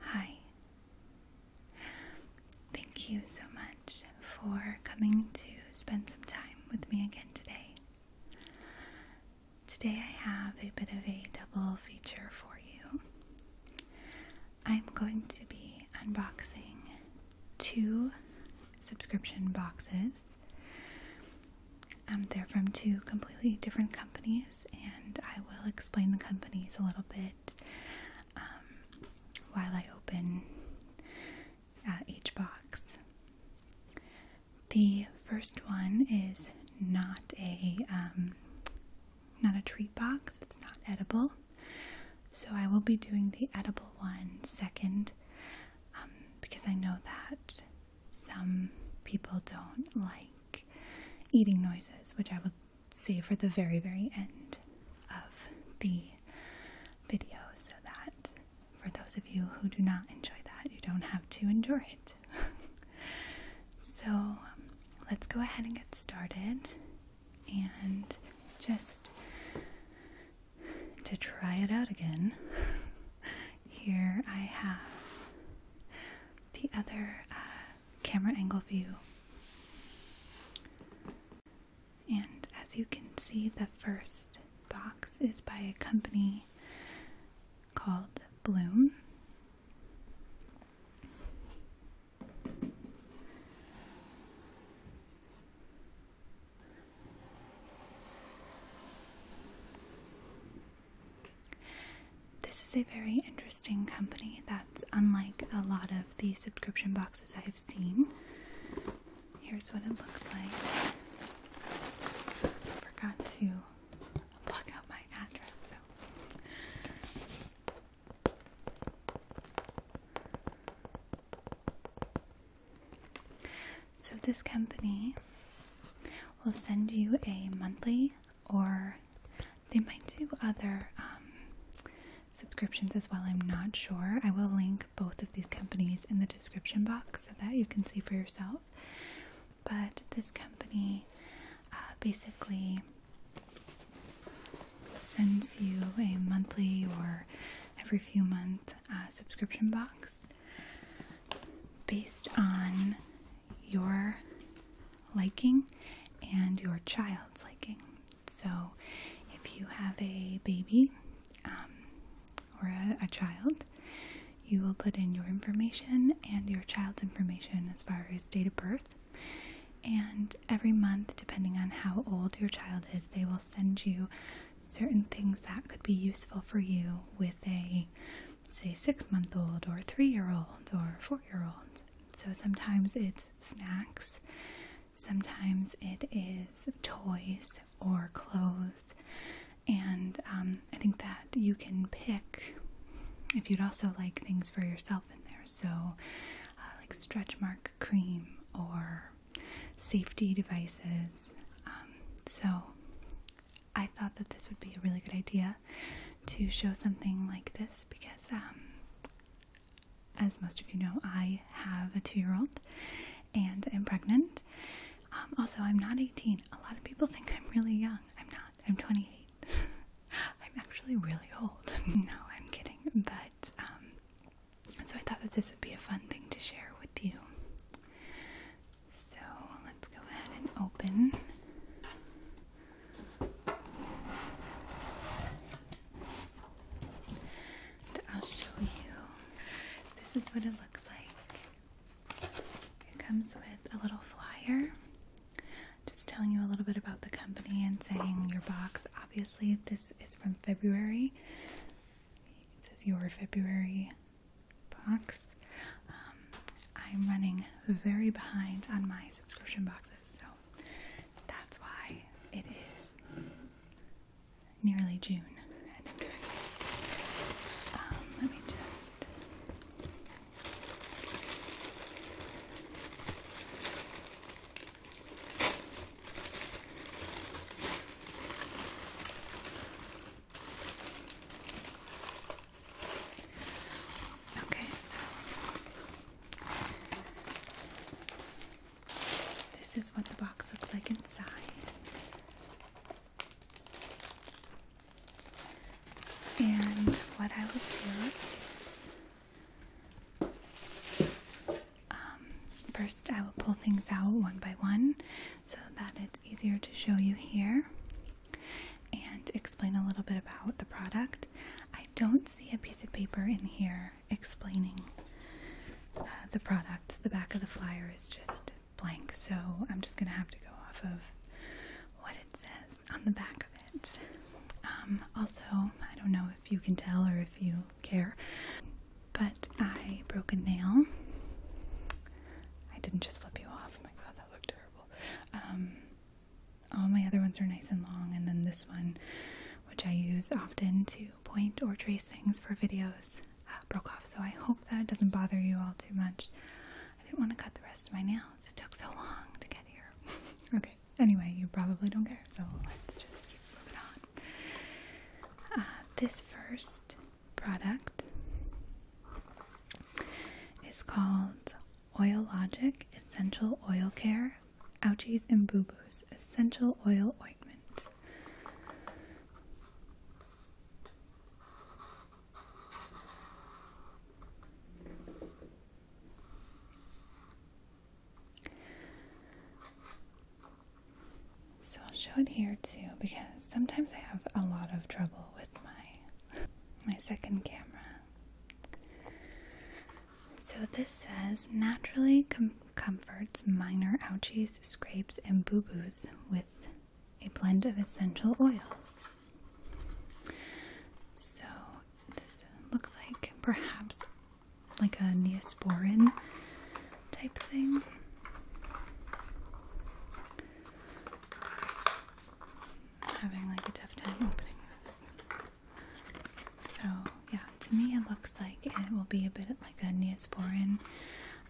Hi. Thank you so much for coming to spend some time with me again today. Today I have a bit of a double feature for you. I'm going to be unboxing two subscription boxes. Um, they're from two completely different companies, and I will explain the companies a little bit um, while I open uh, each box. The first one is not a um, not a treat box; it's not edible. So I will be doing the edible one second um, because I know that some people don't like eating noises, which I will save for the very, very end of the video so that for those of you who do not enjoy that, you don't have to enjoy it. so um, let's go ahead and get started and just to try it out again, here I have the other uh, camera angle view. And as you can see, the first box is by a company called Bloom. This is a very interesting company that's unlike a lot of the subscription boxes I have seen. Here's what it looks like. Forgot to block out my address, so, this company will send you a monthly, or they might do other um, subscriptions as well. I'm not sure. I will link both of these companies in the description box so that you can see for yourself. But this company uh, basically sends you a monthly or every few months uh, subscription box based on your liking and your child's liking. So, if you have a baby um, or a child, you will put in your information and your child's information as far as date of birth. And every month, depending on how old your child is, they will send you certain things that could be useful for you with a say six month old or three year old or four year old. So sometimes it's snacks, sometimes it is toys or clothes, and um, I think that you can pick if you'd also like things for yourself in there. So, uh, like stretch mark cream or safety devices. Um, so I thought that this would be a really good idea to show something like this because, um, as most of you know, I have a two year old and i am pregnant. Um, also, I'm not 18. A lot of people think I'm really young. I'm not. I'm 28. I'm actually really old. no, I'm kidding. But so I thought that this would be a fun thing to share with you. So let's go ahead and open. I'll show you. This is what it looks like. It comes with a little flyer just telling you a little bit about the company and saying your box. Obviously, this is from February it says your February box. Um, I'm running very behind on my subscription boxes, so that's why it is nearly June. Um, let me just. Okay, so this is what the box looks like inside. And what I will do is um, first, I will pull things out one by one so that it's easier to show you here and explain a little bit about the product. I don't see a piece of paper in here explaining uh, the product. The back of the flyer is just blank, so I'm just going to have to go off of what it says on the back of it. Um, also, I don't know if you can tell or if you care. But I broke a nail. I didn't just flip you off. Oh my god, that looked terrible. Um, all my other ones are nice and long, and then this one, which I use often to point or trace things for videos, uh, broke off. So I hope that it doesn't bother you all too much. I didn't want to cut the rest of my nails, it took so long to get here. okay, anyway, you probably don't care, so let's just. Uh, this first product is called Oil Logic Essential Oil Care Ouchies and Boo Boos Essential Oil Ointment. So I'll show it here too because sometimes I have a lot of trouble with my my second camera. So this says naturally comforts minor ouchies, scrapes, and boo-boos with a blend of essential oils. So this looks like perhaps like a neosporin type thing. having like a tough time opening this. So yeah, to me it looks like it will be a bit like a neosporin,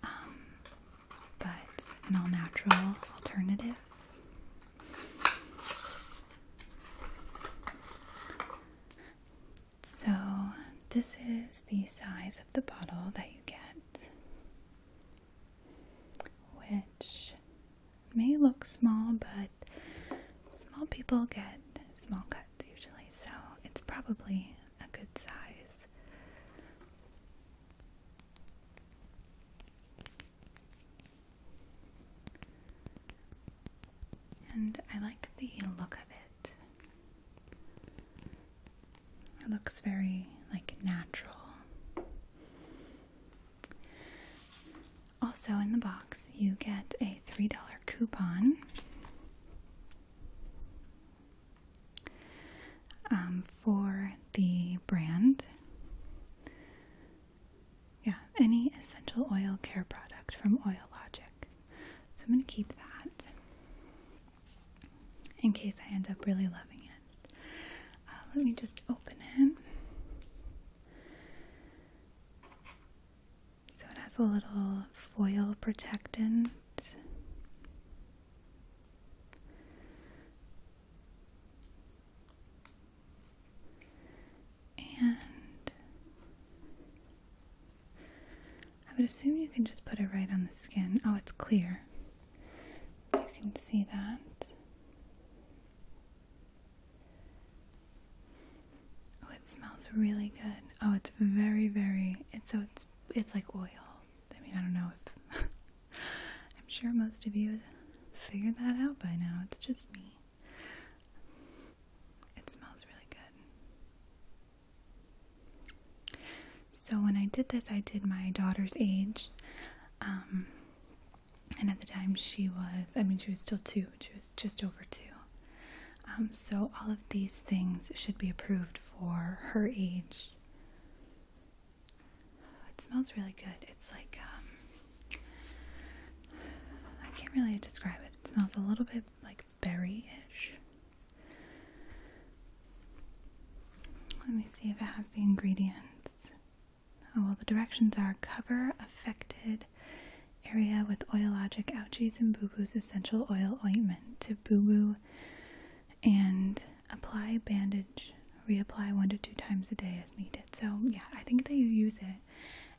um, but an all-natural alternative. So, this is the size of the bottle that you get, which may look small, but small people get small cuts usually, so it's probably a good size. And I like the look of it it. looks very like natural. Also, in the box, you get a $3 coupon um, for the brand. Yeah, any essential oil care product from Oil Logic. So I'm going to keep that in case I end up really loving it. Uh, let me just open it. So it has a little foil protectant. And I would assume you can just put it right on the skin. Oh, it's clear. You can see that. Oh, it smells really good. Oh, it's very, very. It's so it's it's like oil. I mean, I don't know if I'm sure most of you figured that out by now. It's just me. It smells really good. So when I did this, I did my daughter's age, um, and at the time she was—I mean, she was still two. She was just over two. Um, so all of these things should be approved for her age. It smells really good. It's like um, I can't really describe it. It smells a little bit like berry-ish. Let me see if it has the ingredients. Oh, well, the directions are cover affected area with Oil Logic ouchies and boo-boo's essential oil ointment to boo-boo and apply bandage reapply one to two times a day as needed so yeah i think that you use it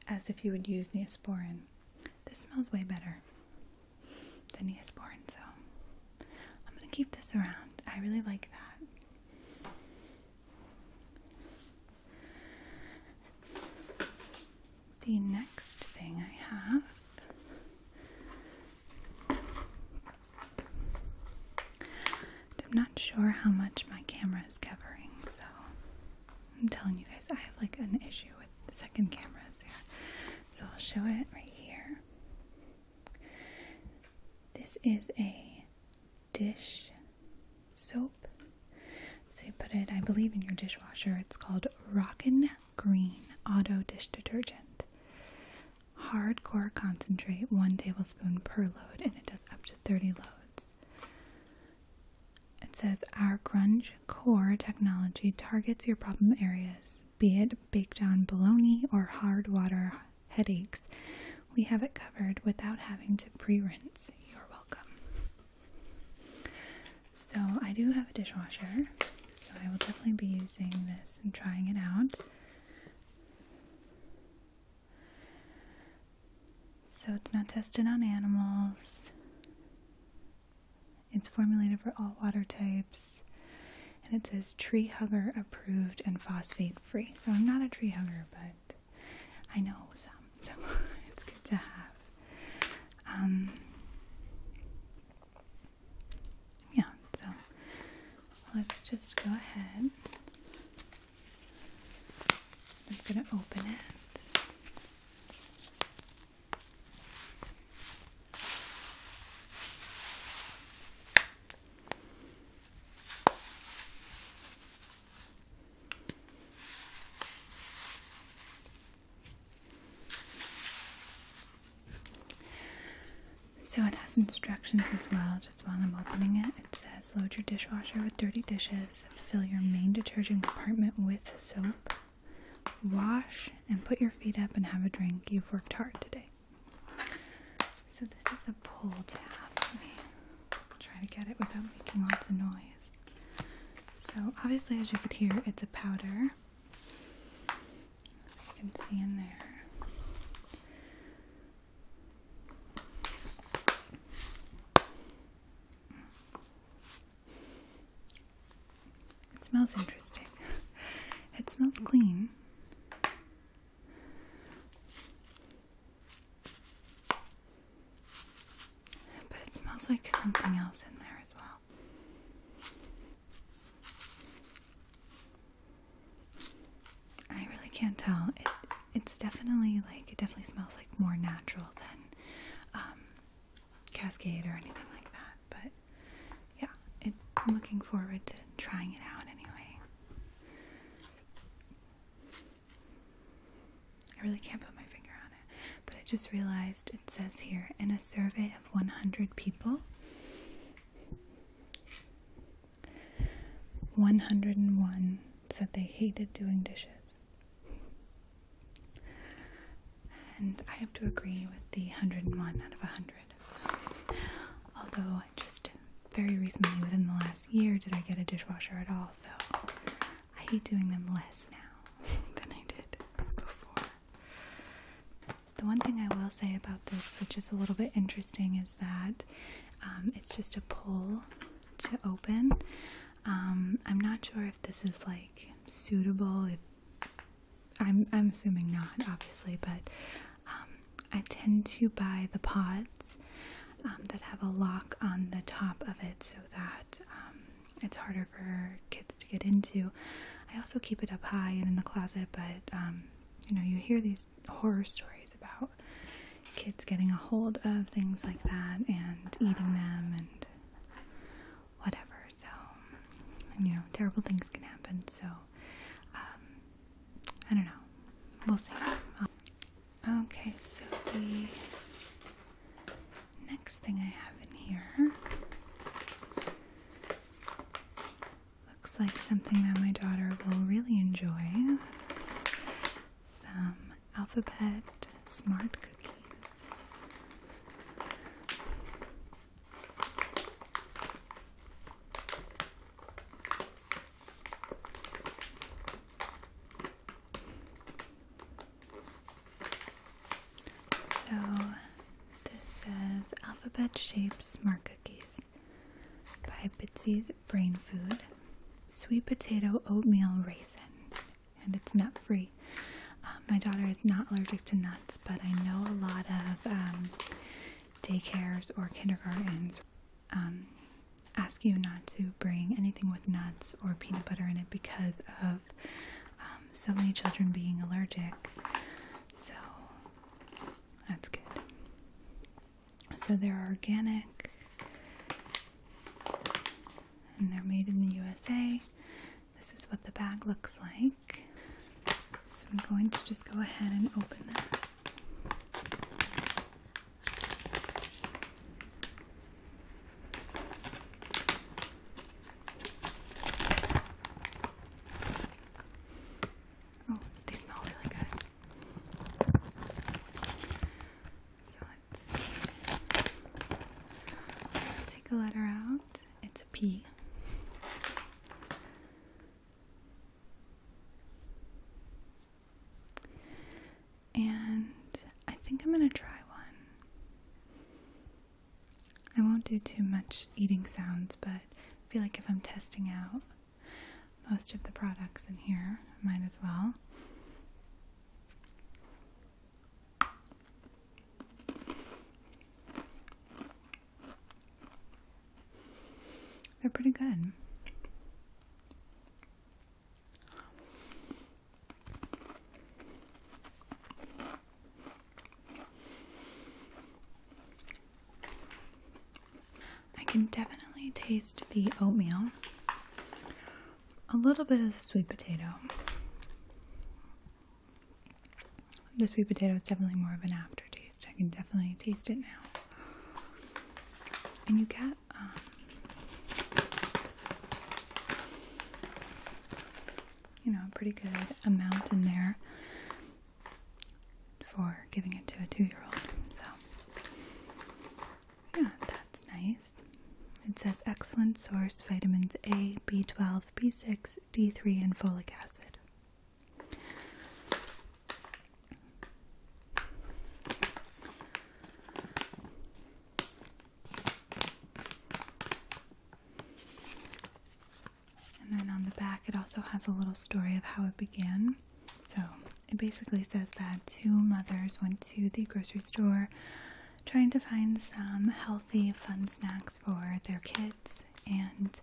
as if you would use neosporin this smells way better than is born, so I'm gonna keep this around. I really like that. The next thing I have I'm not sure how much my camera is covering, so I'm telling you guys I have like an issue with second cameras here. So I'll show it right here. This is a dish soap. So you put it, I believe, in your dishwasher. It's called Rockin' Green Auto Dish Detergent. Hardcore concentrate, one tablespoon per load, and it does up to 30 loads. It says, Our grunge core technology targets your problem areas, be it baked on bologna or hard water headaches. We have it covered without having to pre rinse. You're welcome. So, I do have a dishwasher, so I will definitely be using this and trying it out. So, it's not tested on animals. It's formulated for all water types and it says tree hugger approved and phosphate free. So I'm not a tree hugger, but I know some, so it's good to have. Um, yeah, so let's just go ahead. I'm going to open it. So it has instructions as well, just while I'm opening it. It says load your dishwasher with dirty dishes, fill your main detergent compartment with soap, Wash and put your feet up and have a drink. You've worked hard today. So, this is a pull tab. Let me try to get it without making lots of noise. So, obviously, as you could hear, it's a powder. So, you can see in there. It smells interesting. It smells clean. But it smells like something else in there as well. I really can't tell. It it's definitely like it definitely smells like more natural than um, Cascade or anything like that, but yeah, I'm looking forward to trying it out anyway. I really can't put my finger on it, but I just realized it says here in a survey of 100 people, 101 said they hated doing dishes. And I have to agree with the 101 out of 100. Although, just very recently, within the last year, did I get a dishwasher at all, so I hate doing them less now than I did before. The one thing I will say about this, which is a little bit interesting, is that um, it's just a pull to open. Um, I'm not sure if this is like suitable, if I'm I'm assuming not, obviously, but um, I tend to buy the pods um, that have a lock on the top of it so that um, it's harder for kids to get into. I also keep it up high and in the closet, but you know you hear these horror stories about kids getting a hold of things like that and eating them and whatever. So, you know, terrible things can happen. So, um, I don't know. We'll see. Um, okay, so the next thing I have in here looks like something that my daughter will really enjoy some alphabet smart cookies. So, this says Alphabet shapes Smart Cookies by Bitsy's Brain Food Sweet Potato Oatmeal Raisin, and it's nut free my daughter is not allergic to nuts, but I know a lot of um, daycares or kindergartens um, ask you not to bring anything with nuts or peanut butter in it because of um, so many children being allergic. So that's good. So they're organic and they're made in the USA this is what the bag looks like. So I'm going to just go ahead and open this. Oh, they smell really good. So let's take a letter out it's it's a P. And I think I'm gonna try one. I won't do too much eating sounds, but I feel like if I'm testing out most of the products in here, might as well. They're pretty good. I can definitely taste the oatmeal, a little bit of the sweet potato, this sweet potato is definitely more of an aftertaste. I can definitely taste it now. And you get um, you know, a pretty good amount in there for giving it to a two-year-old. So yeah, that's nice. It says excellent source vitamins A, B12, B6, D3 and folic acid. And then on the back, it also has a little story of how it began. So it basically says that two mothers went to the grocery store trying to find some health healthy, fun snacks for their kids, and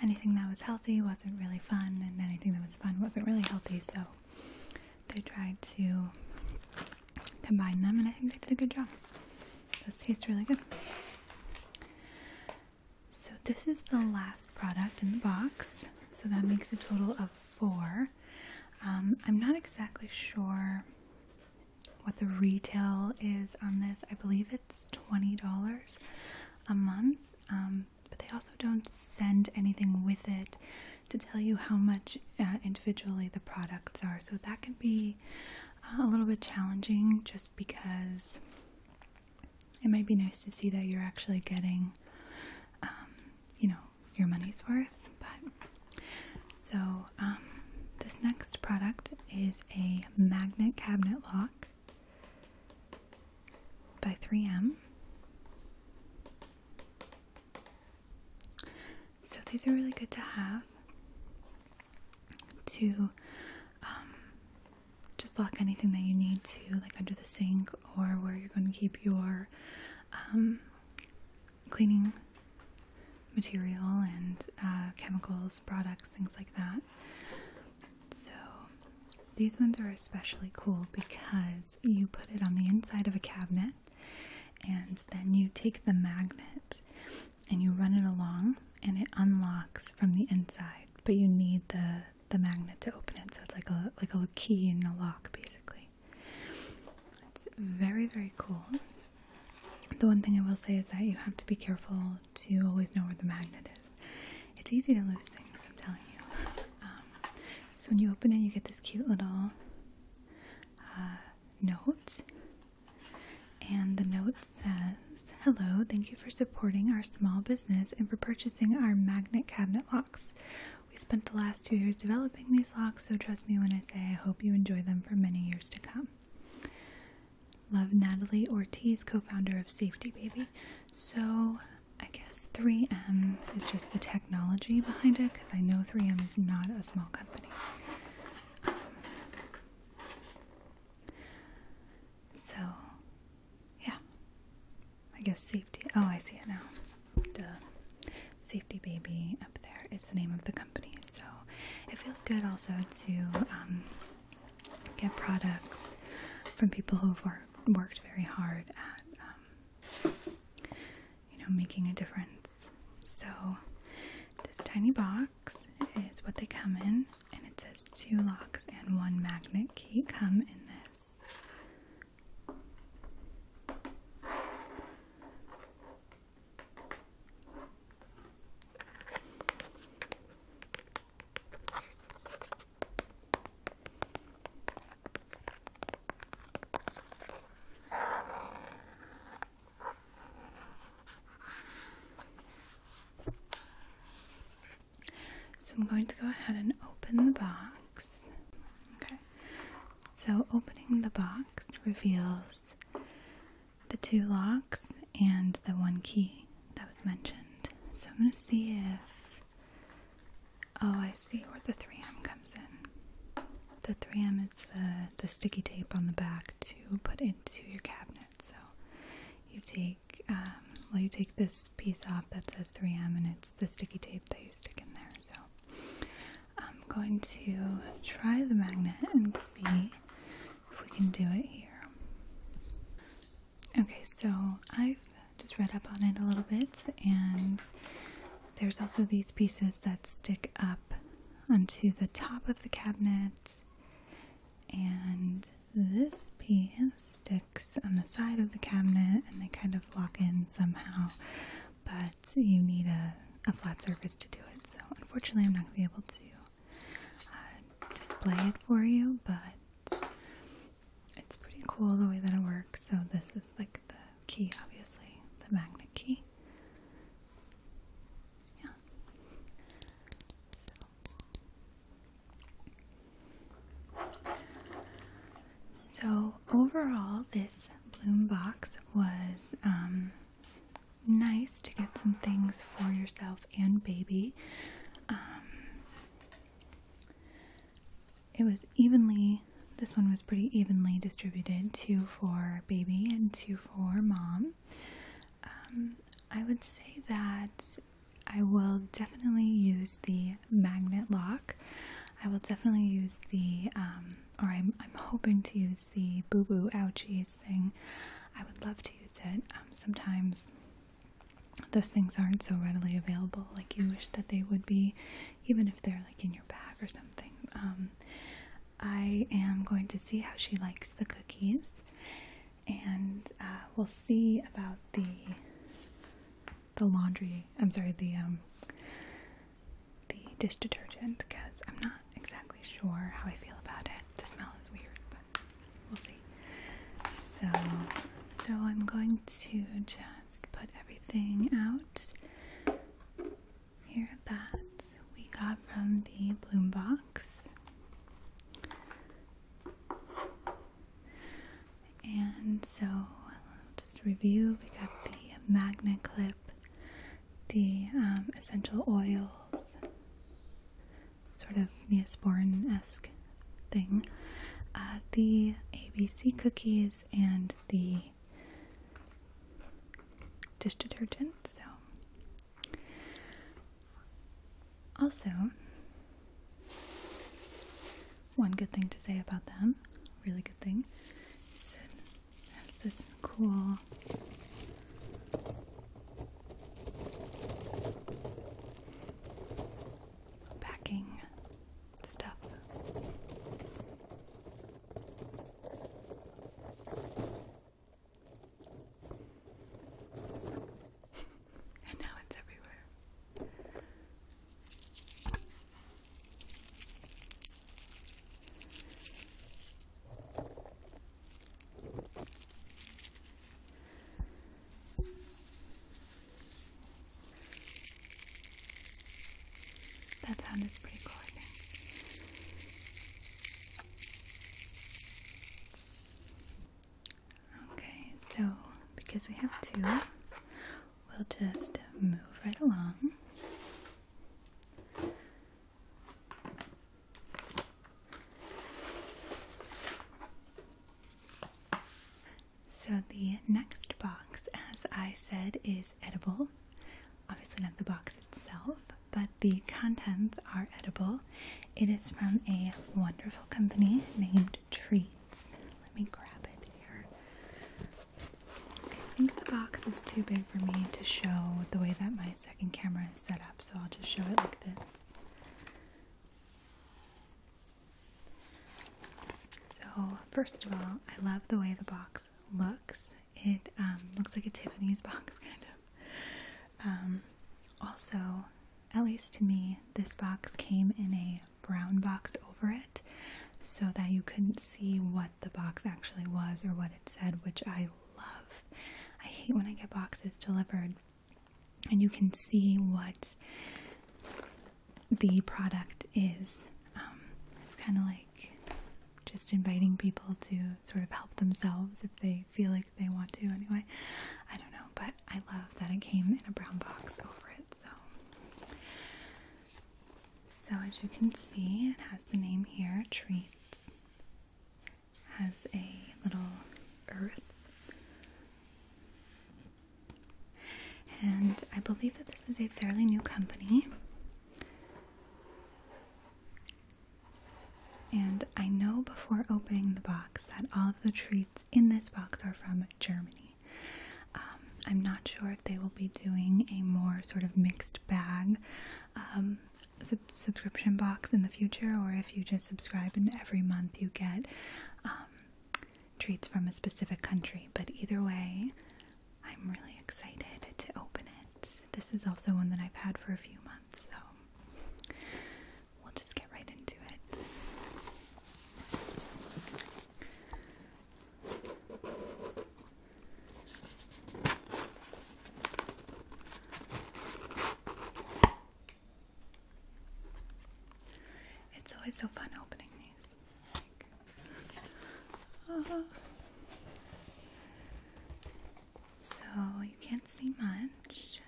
anything that was healthy wasn't really fun, and anything that was fun wasn't really healthy, so they tried to combine them, and I think they did a good job. Those taste really good. So, this is the last product in the box, so that makes a total of four. Um, I'm not exactly sure what the retail is on this. I believe it's $20 a month, um, but they also don't send anything with it to tell you how much uh, individually the products are. So that can be uh, a little bit challenging just because it might be nice to see that you're actually getting, um, you know, your money's worth. But so um, this next product is a magnet cabinet lock by 3M. So these are really good to have to um, just lock anything that you need to, like under the sink or where you're going to keep your um, cleaning material and uh, chemicals, products, things like that. So these ones are especially cool because you put it on the inside of a cabinet and then you take the magnet and you run it along and it unlocks from the inside, but you need the the magnet to open it. So it's like a like a key in a lock basically. It's very very cool. The one thing I will say is that you have to be careful to always know where the magnet is. It's easy to lose things, I'm telling you. Um, so when you open it, you get this cute little uh, note. And the note says, Hello, thank you for supporting our small business and for purchasing our magnet cabinet locks. We spent the last two years developing these locks, so trust me when I say I hope you enjoy them for many years to come. Love Natalie Ortiz, co founder of Safety Baby. So I guess 3M is just the technology behind it because I know 3M is not a small company. Um, so, yeah. I guess safety. Oh, I see it now. Safety Baby up there is the name of the company. So it feels good also to um, get products from people who've worked very hard at, um, you know, making a difference. So this tiny box is what they come in, and it says two locks and one magnet key come in this. So I'm going to go ahead and open the box. Okay. So opening the box reveals the two locks and the one key that was mentioned. So I'm going to see if. Oh, I see where the 3M comes in. The 3M is the, the sticky tape on the back to put into your cabinet. So you take, um, well, you take this piece off that says 3M and it's the sticky tape that you stick in there. So I'm going to try the magnet and see if we can do it here. Okay, so I've just read up on it a little bit, and there's also these pieces that stick up onto the top of the cabinet, and this piece sticks on the side of the cabinet and they kind of lock in somehow, but you need a, a flat surface to do it. So, unfortunately, I'm not going to be able to uh, display it for you, but it's pretty cool the way that it works. So this is like the key, obviously, the magnet key. Yeah. So, overall, this bloom box was um, nice to get some things for yourself and baby. Um, it was evenly, this one was pretty evenly distributed two for baby and two for mom. Um, I would say that I will definitely use the magnet lock. I will definitely use the, um, or I'm, hoping to use the boo boo ouchies thing. I would love to use it. Um, sometimes those things aren't so readily available, like you wish that they would be, even if they're like in your bag or something. Um, I am going to see how she likes the cookies, and uh, we'll see about the the laundry. I'm sorry, the um, the dish detergent because I'm not exactly sure how I feel about it. The smell is weird, but we'll see. So, so I'm going to just put everything out here that we got from the Bloom box. And so, just review we got the magnet clip, the um, essential oils, sort of Neosporin esque thing, uh, the ABC cookies and the dish detergent. So, also, one good thing to say about them, really good thing, is it has this cool Backing stuff. and now it's everywhere. That sound is pretty cool, Okay, so because we have two, we'll just move right along. So, the next box, as I said, is edible. Obviously, not the box itself, but the contents are edible. It is from a wonderful company named Treats. Let me grab it here. I think the box is too big for me to show the way that my second camera is set up, so I'll just show it like this. So first of all, I love the way the box looks. It um, looks like a Tiffany's box, kind of. Um, also, at least to me, this box came in a brown box over it so that you couldn't see what the box actually was or what it said, which I love. I hate when I get boxes delivered and you can see what the product is. Um, it's kind of like just inviting people to sort of help themselves if they feel like they want to anyway. I don't know, but I love that it came in a brown box over it. So, so as you can see, it has the name here, Treats has a little earth. And I believe that this is a fairly new company. And I know before opening the box that all of the treats in this box are from Germany. Um, I'm not sure if they will be doing a more sort of mixed bag um, subscription box in the future, or if you just subscribe and every month you get um, treats from a specific country. But either way, I'm really excited to open it. This is also one that I've had for a few months, so we'll just get right into it. It's always so fun opening these. Uh-huh. So you can't see much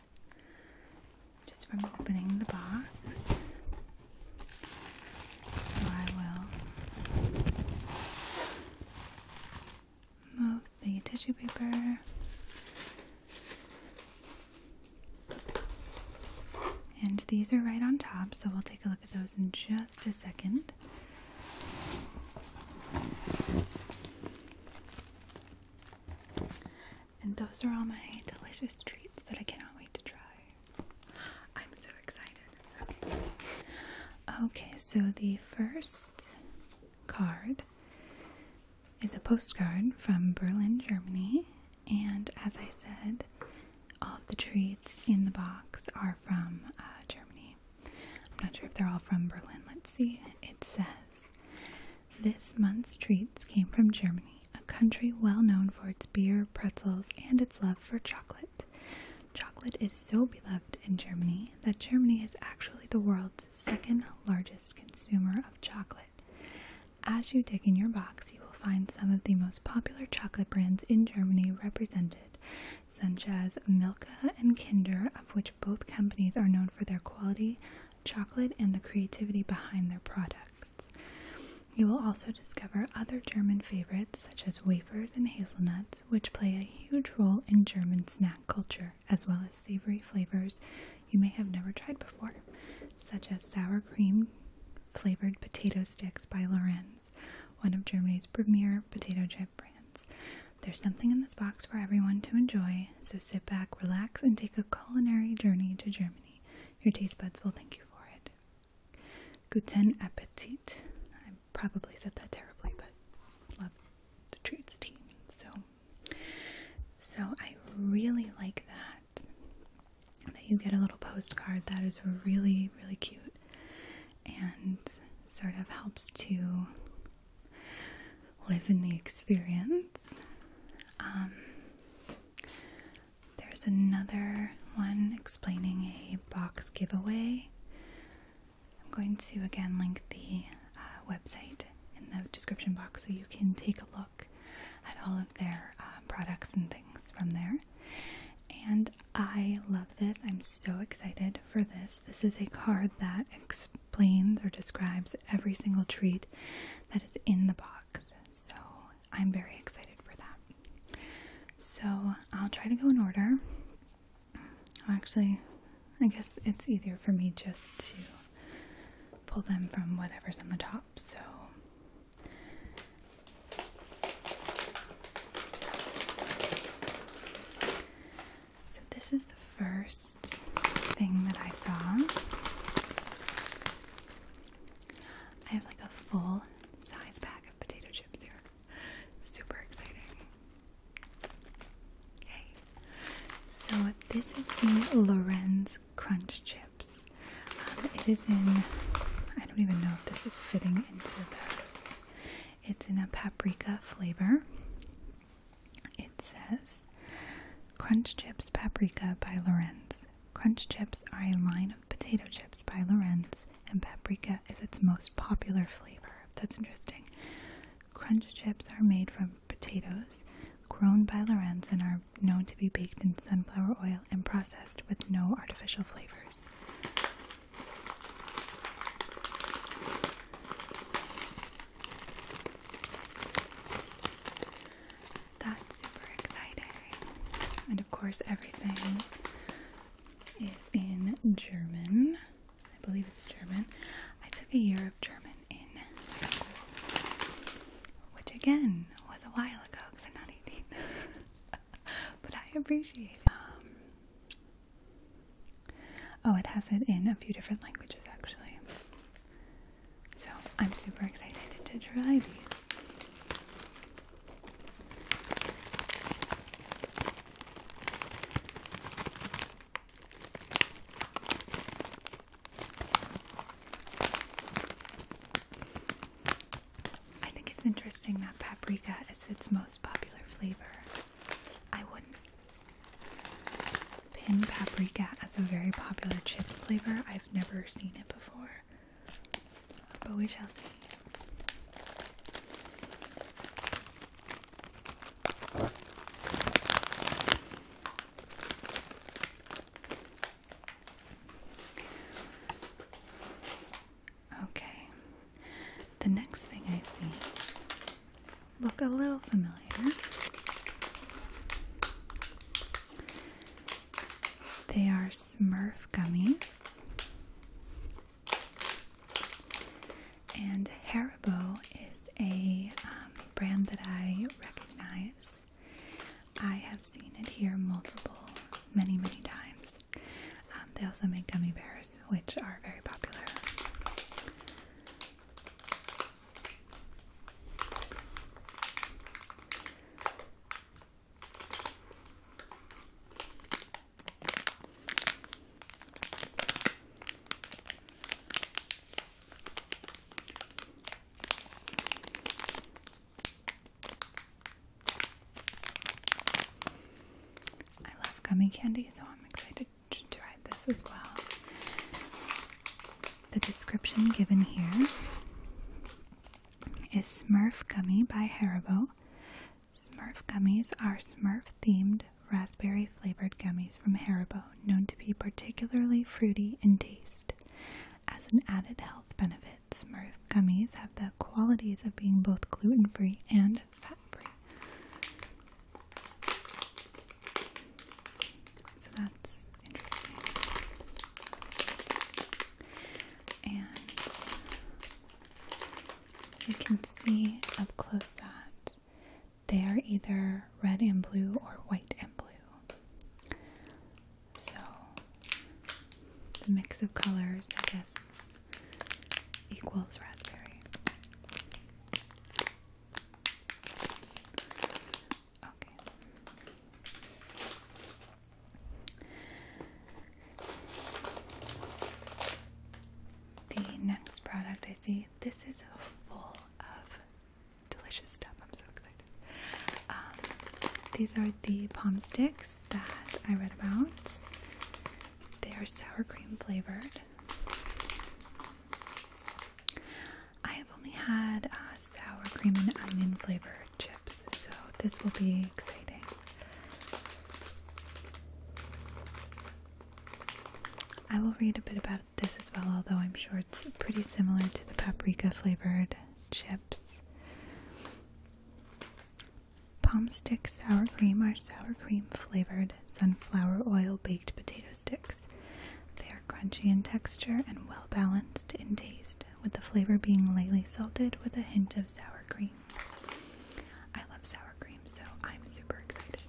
just from opening the box. So I will move the tissue paper and these are right on top so we'll take a look at those in just a second and those are all my delicious treats that I cannot wait to try I'm so excited okay, okay so the first card is a postcard from Berlin, Germany. And as I said, all of the treats in the box are from uh, Germany. I'm not sure if they're all from Berlin. Let's see. It says, This month's treats came from Germany, a country well known for its beer, pretzels, and its love for chocolate. Chocolate is so beloved in Germany that Germany is actually the world's second largest consumer of chocolate. As you dig in your box, you will find some of the most popular chocolate brands in Germany represented, such as Milka and Kinder, of which both companies are known for their quality, chocolate, and the creativity behind their products. You will also discover other German favorites such as wafers and hazelnuts, which play a huge role in German snack culture as well as savory flavors you may have never tried before, such as sour cream flavored potato sticks by Lorenz, one of Germany's premier potato chip brands. There's something in this box for everyone to enjoy, so sit back, relax, and take a culinary journey to Germany. Your taste buds will thank you for it. Guten Appetit. I probably said that terribly, but love the treats team, so so I really like that. That you get a little postcard that is really, really cute and sort of helps to live in the experience. Um, there's another one explaining a box giveaway I'm going to again link the uh, website in the description box so you can take a look at all of their uh, products and things from there. And I love this. I'm so excited for this. This is a card that explains or describes every single treat that is in the box. So I'm very excited for that. So I'll try to go in order. Actually, I guess it's easier for me just to pull them from whatever's on the top, so. So, this is the first thing that I saw. I have like a full size bag of potato chips here. Super exciting. Okay, so this is the Lorenz Crunch Chips. Um, it is in, I don't even know if this is fitting into that. it's in a paprika flavor. It says Crunch Chips Paprika by Lorenz. Crunch chips are a line of potato chips by Lorenz, and paprika is its most popular flavor. That's interesting. Crunch chips are made from potatoes grown by Lorenzen are known to be baked in sunflower oil and processed with no artificial flavors. That's super exciting. And of course, everything is in German. I believe it's German. I took a year of German in high school, which again was a while ago because I'm not 18. but I appreciate it. Um, oh, it has it in a few different languages actually. So I'm super excited to try these. I think it's interesting that paprika is its most popular flavor. I wouldn't pin paprika as a very popular chip flavor. I've never seen it before. But we shall see. Okay, the next thing I see look a little familiar. They are Smurf gummies. And Haribo is a um, brand that I recognize. I have seen it here multiple, many, many times. Um, they also make gummy bears, which are very popular. I love gummy candy, so I'm excited to try this as well. The description given here is Smurf Gummy by Haribo. Smurf gummies are Smurf themed raspberry flavored gummies from Haribo, known to be particularly fruity in taste. As an added health benefit, Smurf gummies have the qualities of being both gluten free and fat free. So that's interesting. And you can see up close that they are either red and blue or white and blue. So the mix of colors, I guess, equals raspberry. Okay. The next product I see, this is full of delicious stuff. I'm so excited. Um, these are the palm sticks that I read about. They are sour cream flavored. I have only had uh, sour cream and onion flavored chips, so this will be exciting. I will read a bit about this as well, although I'm sure it's pretty similar to the paprika flavored chips. Palm stick sour cream are sour cream flavored sunflower oil baked potato sticks. They are crunchy in texture and well balanced in taste, with the flavor being lightly salted with a hint of sour cream. I love sour cream, so I'm super excited.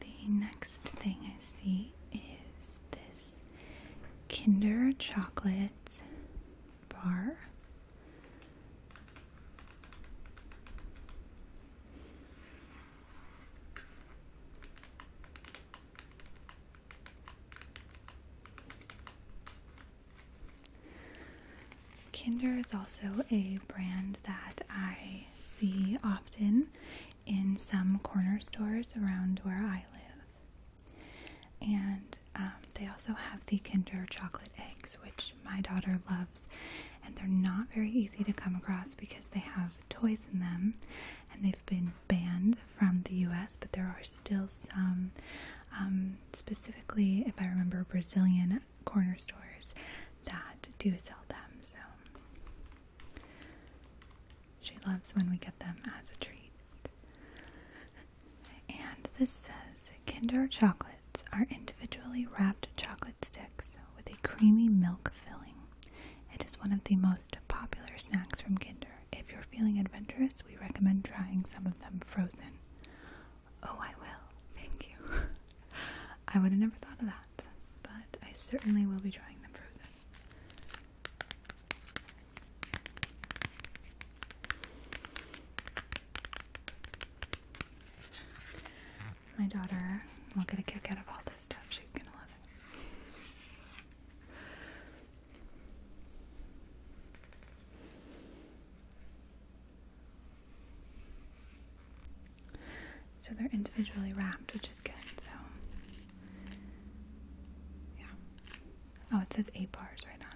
The next thing I see is this Kinder Chocolate Bar. Kinder is also a brand that I see often in some corner stores around where I live. And um, they also have the Kinder chocolate eggs, which my daughter loves, and they're not very easy to come across because they have toys in them and they've been banned from the US, but there are still some, um, specifically, if I remember, Brazilian corner stores that do sell them. So she loves when we get them as a treat. And this says Kinder chocolates are individually wrapped chocolate sticks with a creamy milk filling. It is one of the most popular snacks from Kinder. If you're feeling adventurous, we recommend trying some of them frozen. Oh, I will. Thank you. I would have never thought of that, but I certainly will be trying them frozen. My daughter will get a kick out of all this stuff. She's gonna love it. So they're individually wrapped, which is good. So, yeah. Oh, it says eight bars right on it.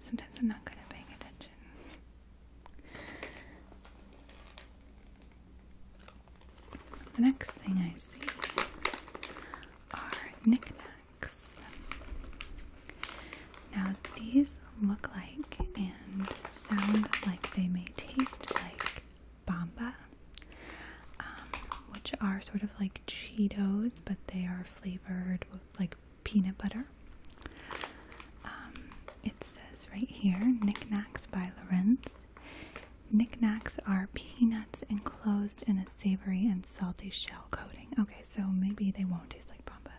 Sometimes I'm not good at paying attention. The next thing I see are knickknacks. Now, these look like and sound like they may taste like bamba, um, which are sort of like Cheetos, but they are flavored with like peanut butter. Um, it says right here Knickknacks by Lorenz. Knickknacks are peanuts enclosed in a savory and salty shell coating. Okay, so maybe they won't taste like Bomba.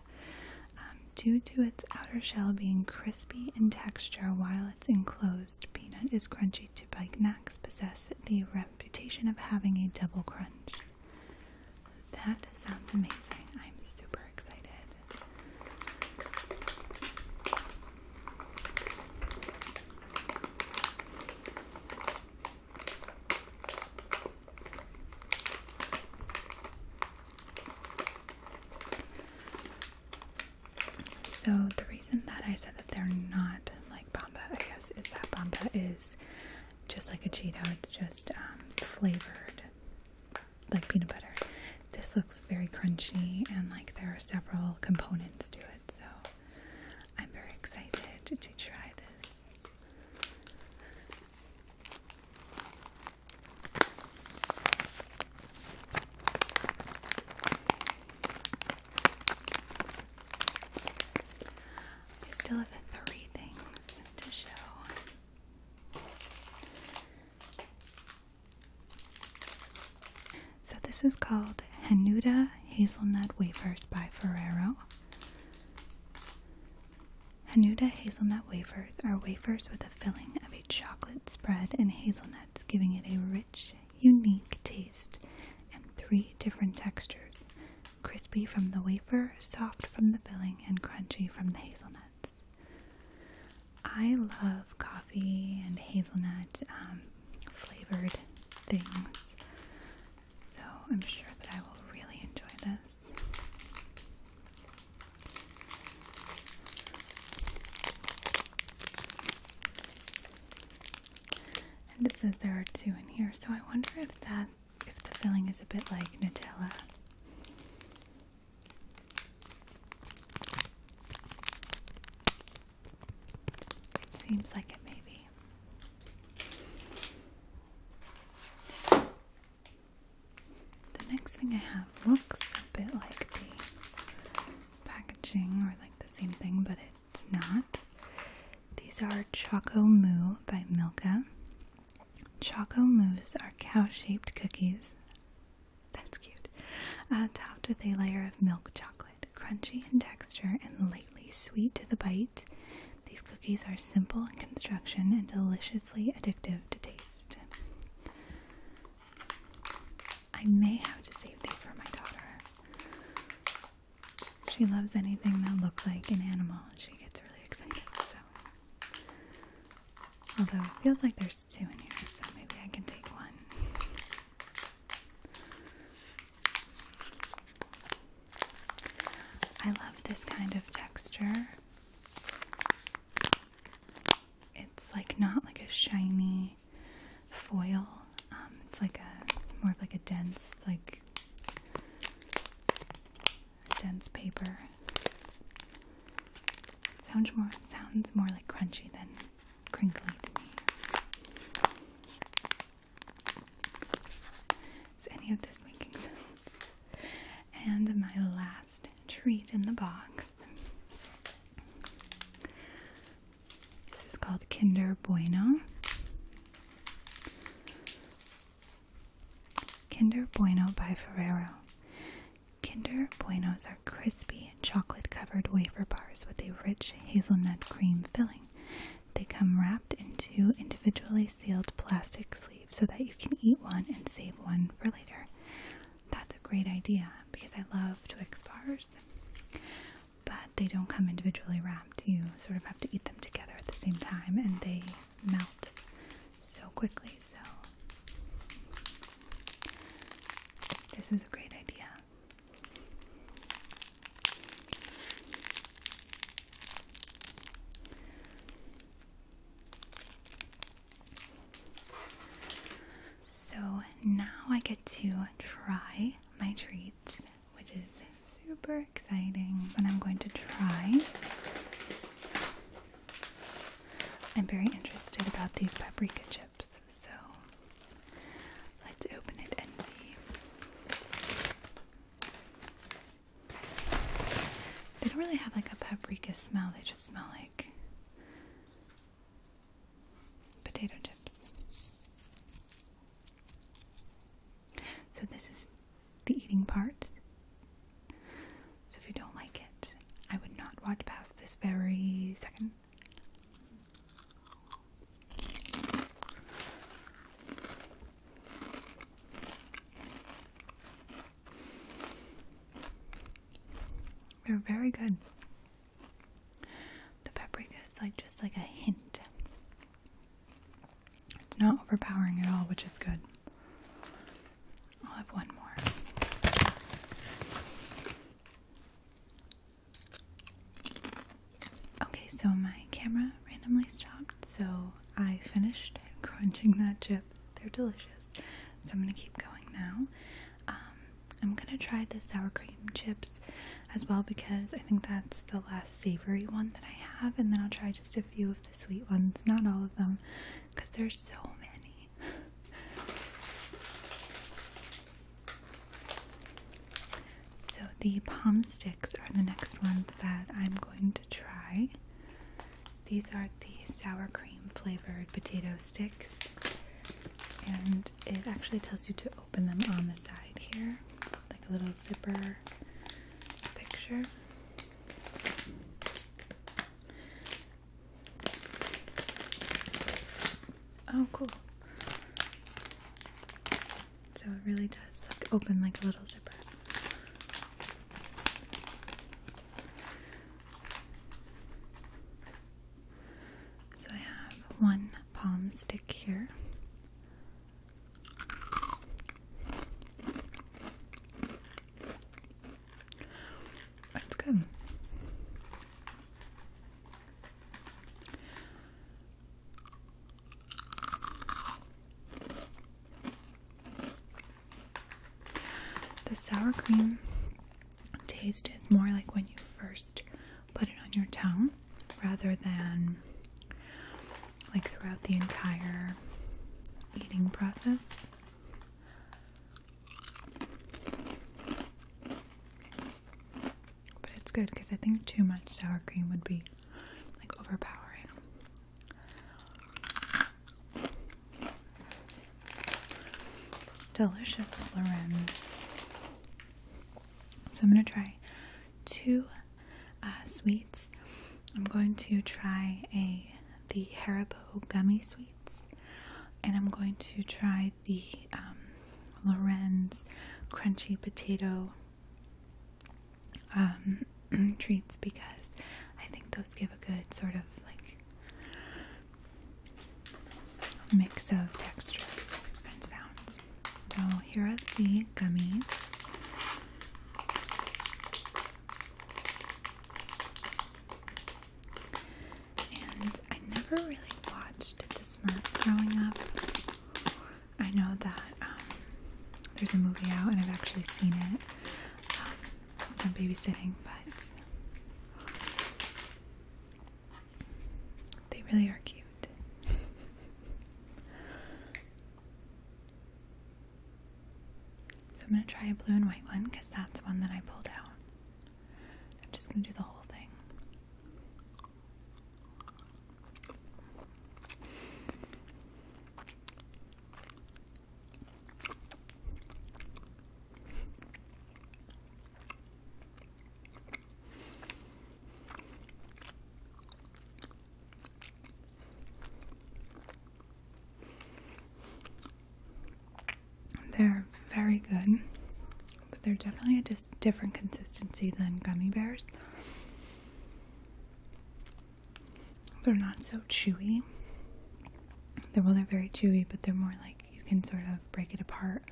Um, due to its outer shell being crispy in texture while its enclosed peanut is crunchy to bite, knacks possess the reputation of having a double crunch. That sounds amazing. I'm super excited. So the reason that I said that they're not like Bamba, I guess, is that Bamba is just like a Cheeto. It's just um, flavored like peanut butter. This looks very crunchy and like there are several components to it, so I'm very excited to try this. I still have three things to show. So this is called Hanuda Hazelnut Wafers by Ferrero. Hanuda hazelnut wafers are wafers with a filling of a chocolate spread and hazelnuts, giving it a rich, unique taste and three different textures crispy from the wafer, soft from the filling, and crunchy from the hazelnuts. I love coffee and hazelnut um, flavored things, so I'm sure that I will really enjoy this. And it says there are two in here, so I wonder if that if the filling is a bit like Nutella. Seems like it, maybe. The next thing I have looks a bit like the packaging or like the same thing, but it's not. These are Choco Moo by Milka. Choco Moos are cow shaped cookies. That's cute. topped with a layer of milk chocolate, crunchy in texture and lightly sweet to the bite. These cookies are simple in construction and deliciously addictive to taste. I may have to save these for my daughter. She loves anything that looks like an animal. She gets really excited. So Although it feels like there's two in here, so maybe I can take one. I love this kind of texture. It's like not like a shiny foil. Um, it's like a more of like a dense like dense paper. Sounds more sounds more like crunchy than crinkly to me. Is any of this making sense? And my last treat in the box. This is called Kinder Bueno. Kinder Bueno by Ferrero. Kinder Buenos are crispy, chocolate covered wafer bars with a rich hazelnut cream filling. They come wrapped in two individually sealed plastic sleeves so that you can eat one and save one for later. That's a great idea because I love Twix bars, but they don't come individually wrapped. You sort of have to eat them together at the same time and they melt so quickly. So, this is a great idea. So now I get to try my treats, which is super exciting. And I'm going to try I'm very interested about these paprika chips, so let's open it and see. They don't really have like a paprika smell, they just smell like potato chips. So, this is the eating part. So if you don't like it, I would not watch past this very second. They're very good. The paprika is like just like a hint. It's not overpowering at all, which is good. I'll have one more. Okay, so my camera randomly stopped, so I finished crunching that chip. They're delicious. So I'm gonna keep going now. Um, I'm gonna try the sour cream chips as well because I think that's the last savory one that I have, and then I'll try just a few of the sweet ones, not all of them, because there's so many so the palm sticks are the next ones that I'm going to try. These are the sour cream flavored potato sticks, and it actually tells you to open them on the side here, like a little zipper picture. Oh, cool. So it really does like open like a little zipper. So I have one palm stick here. That's good. The sour cream taste is more like when you first put it on your tongue rather than like throughout the entire eating process. But it's good because I think too much sour cream would be like overpowering. Delicious Lorenz. So I'm going to try two uh, sweets. I'm going to try a the Haribo gummy sweet and I'm going to try the um, Lorenz crunchy potato um, treats because I think those give a good sort of like mix of textures and sounds. So here are the gummies. And I never really watched The Smurfs growing up. I know that um, there's a movie out, and I've actually seen it. Um, babysitting, but they really are cute. So I'm going to try a blue and white one because that's one that I pulled out. I'm just gonna do the whole thing. They're very good, but they're definitely a dis different consistency than gummy bears. They're not so chewy. They're, well, they're very chewy, but they're more like you can sort of break it apart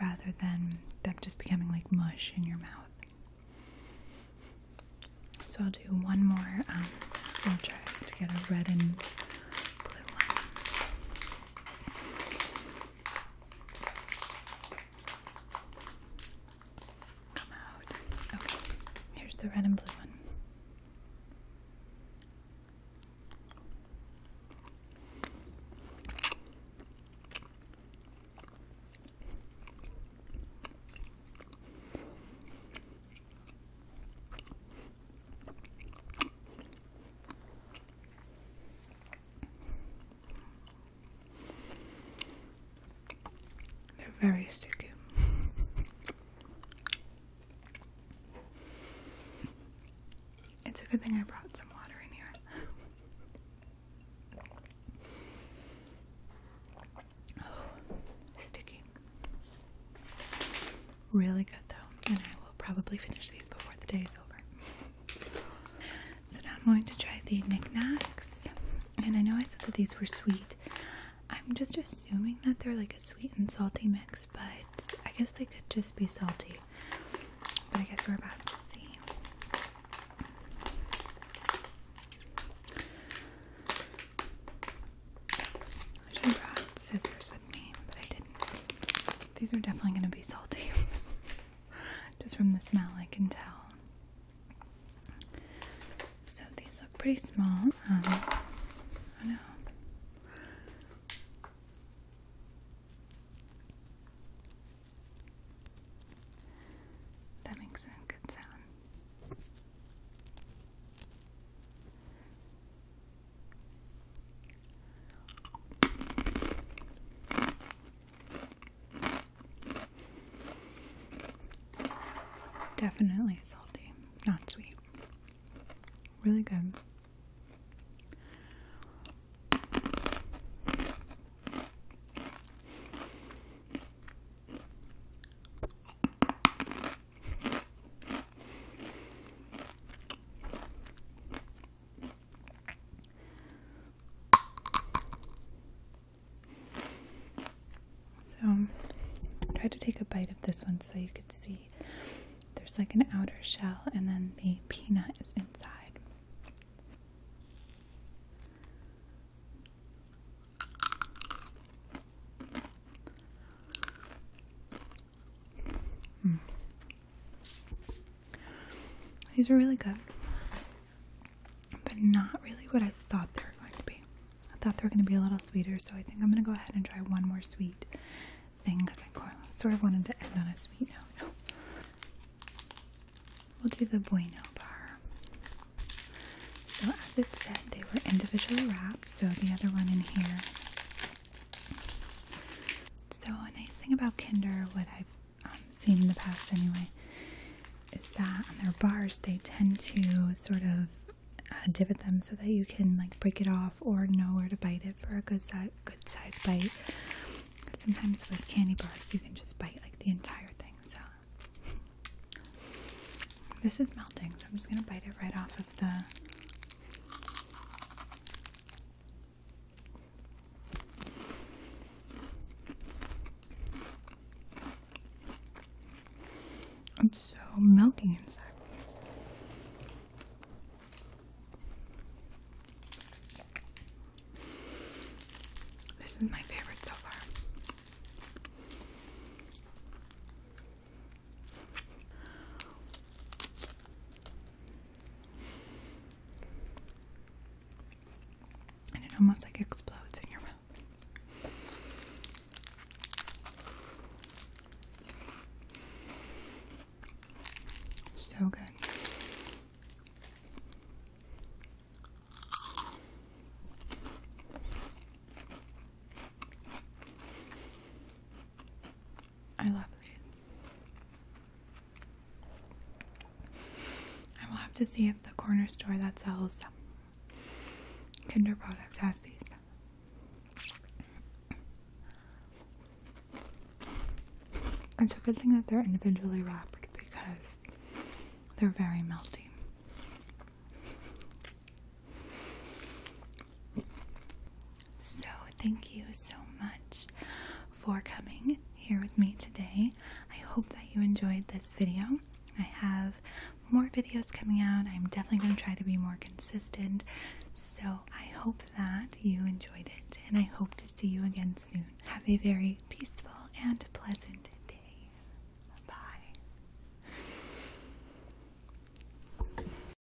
rather than them just becoming like mush in your mouth. So I'll do one more. I'll um, try to get a red and Come out. Okay, here's the red and blue one. They're very sticky. It's a good thing I brought some water in here. Oh, sticky. Really good though, and I will probably finish these before the day is over. so now I'm going to try the knickknacks, and I know I said that these were sweet. I'm just assuming that they're like a sweet and salty mix, but I guess they could just be salty. But I guess we're about to see. I should have brought scissors with me, but I didn't. These are definitely going to be salty. Just from the smell, I can tell. So these look pretty small. oh know. That makes a good sound. Definitely salty, not sweet. Really good. So, try to take a bite of this one so you could see there's like an outer shell, and then the peanut is inside. Hmm. These are really good, but not really what I thought they were going to be. I thought they were going to be a little sweeter, so I think I'm going to go ahead and try one more sweet thing because I sort of wanted to end on a sweet note. We'll do the Bueno bar. So, as it said, they were individually wrapped, so the other one in here so, a nice thing about Kinder, what I've um, seen in the past anyway, is that on their bars they tend to sort of uh, them so that you can like break it off or know where to bite it for a good size bite. Sometimes with candy bars you can just bite like the entire thing. So this is melting, so I'm just gonna bite it right off of the I'm so melty inside. This is my favorite so far it almost like explodes in your mouth. So good. I love these. I will have to see if the corner store that sells Kinder products has these. It's a good thing that they're individually wrapped because they're very melty. So, thank you so much for coming here with me today. I hope that you enjoyed this video. I have more videos coming out. I'm definitely going to try to be more consistent. So, I hope that you enjoyed it and I hope to see you again soon. Have a very peaceful and pleasant day. Bye.